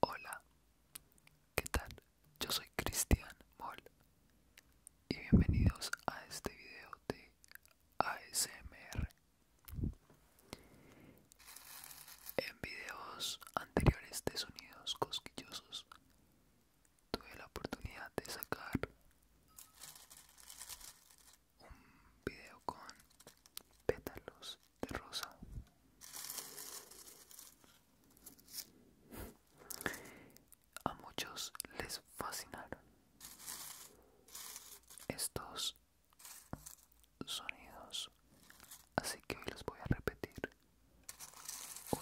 Hola, ¿qué tal? Yo soy Cristian Moll y bienvenidos a este video de ASMR. En videos anteriores de sonidos cosquillosos tuve la oportunidad de sacar un video con pétalos de rosa a muchos les fascinaron estos sonidos así que hoy los voy a repetir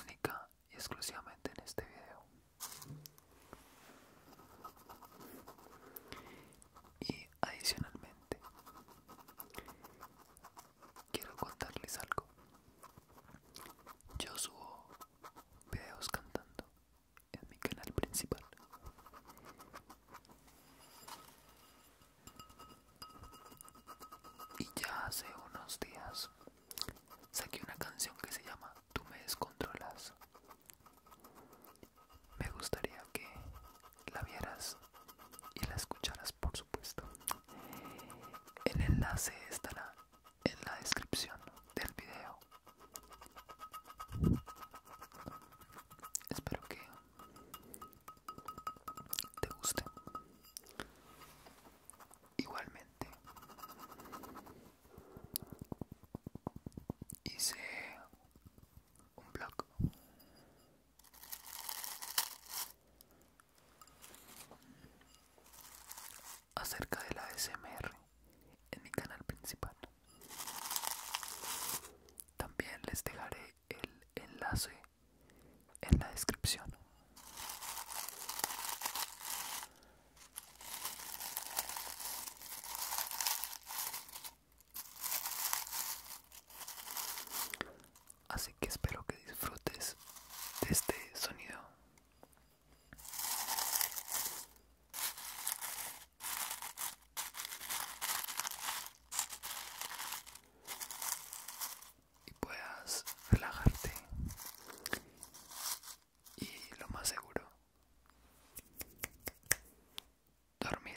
única y exclusivamente en este video y Adicionalmente, quiero contarles algo. Yo subo videos cantando en mi canal principal. Y ya hace unos días saqué una canción que se llama Tú me descontrolas me gustaría que la vieras y la escucharas por supuesto el enlace estará en la descripción del video espero que te guste igualmente hice un blog. Acerca de la SMR en mi canal principal. También les dejaré el enlace en la descripción. Así que espero que disfrutes de este sonido. Y puedas relajarte. Y lo más seguro dormir.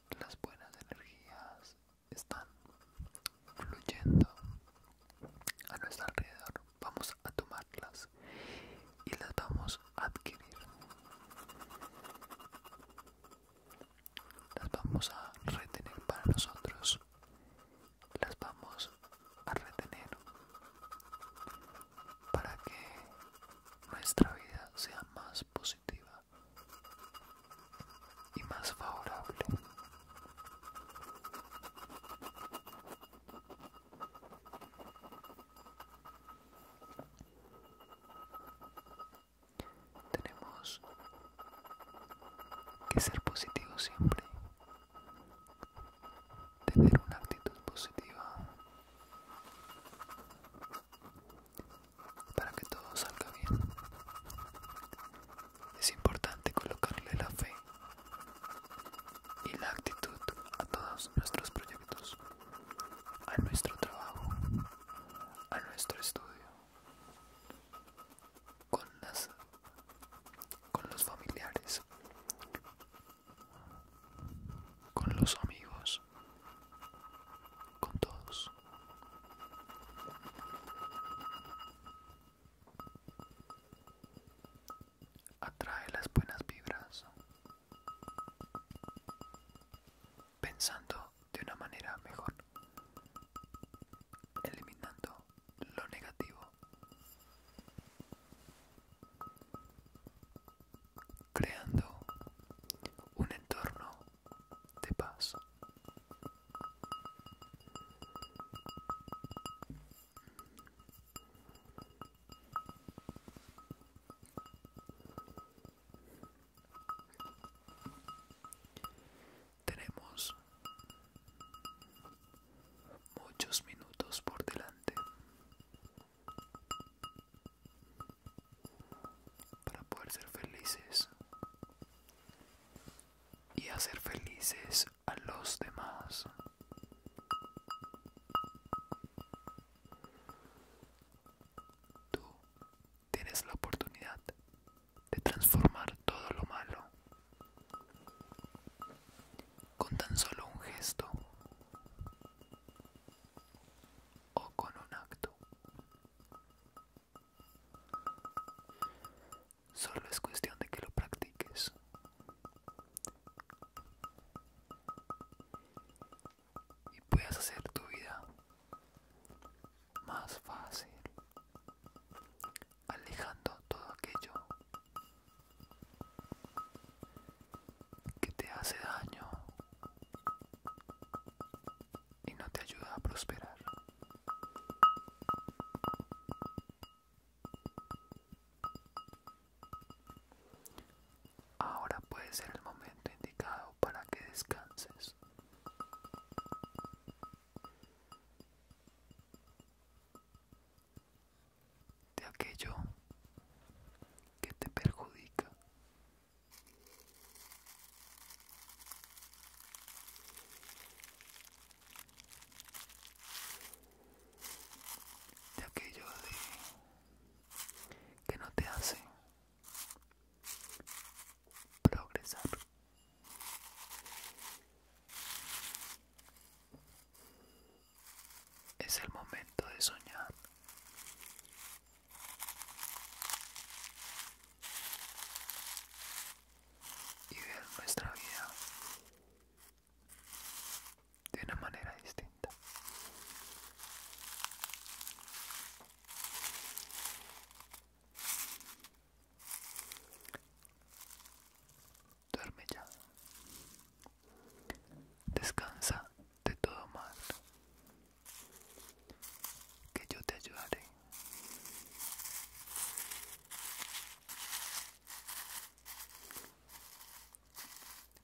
las buenas energías están fluyendo a nuestro alrededor vamos a tomarlas y las vamos a adquirir las vamos a retener para nosotros las vamos a retener para que nuestra vida sea más posible y más favorable. Tenemos que ser positivos siempre, tener una actitud positiva para que todo salga bien. Es importante colocarle la fe y la actitud a todos nuestros proyectos, a nuestro trabajo, a nuestro estudio, con, las, con los familiares, con los amigos con todos. Atrae las buenas vibras. Pensando de una manera mejor. Eliminando lo negativo creando un entorno de paz. Tenemos muchos minutos por delante para poder ser felices y hacer felices a los demás. Tú tienes la oportunidad de transformar todo lo malo con tan solo un gesto o con un acto. Solo es cuestión de que lo practiques. Y puedas hacer tu vida más fácil, alejando todo aquello que te hace daño y no te ayuda a prosperar. Ahora puede ser el momento indicado para que descanses de aquello que te perjudica. De aquello que no te hace progresar. Es el momento de soñar. Y ver nuestra vida de una manera distinta duerme ya. Descansa de todo mal, que yo te ayudaré.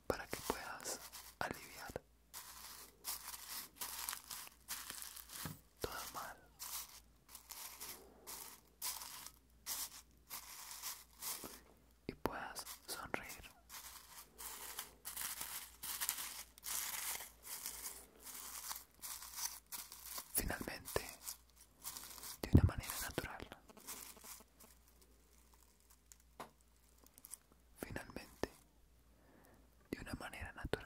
Para que puedas aliviar todo mal y puedas sonreír. Finalmente, de una manera natural. Finalmente, de una manera natural.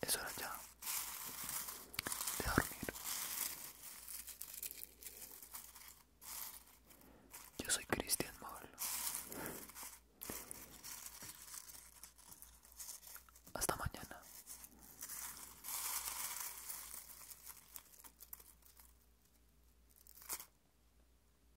Es hora ya de dormir. Yo soy Cristian Mauro. Hasta mañana.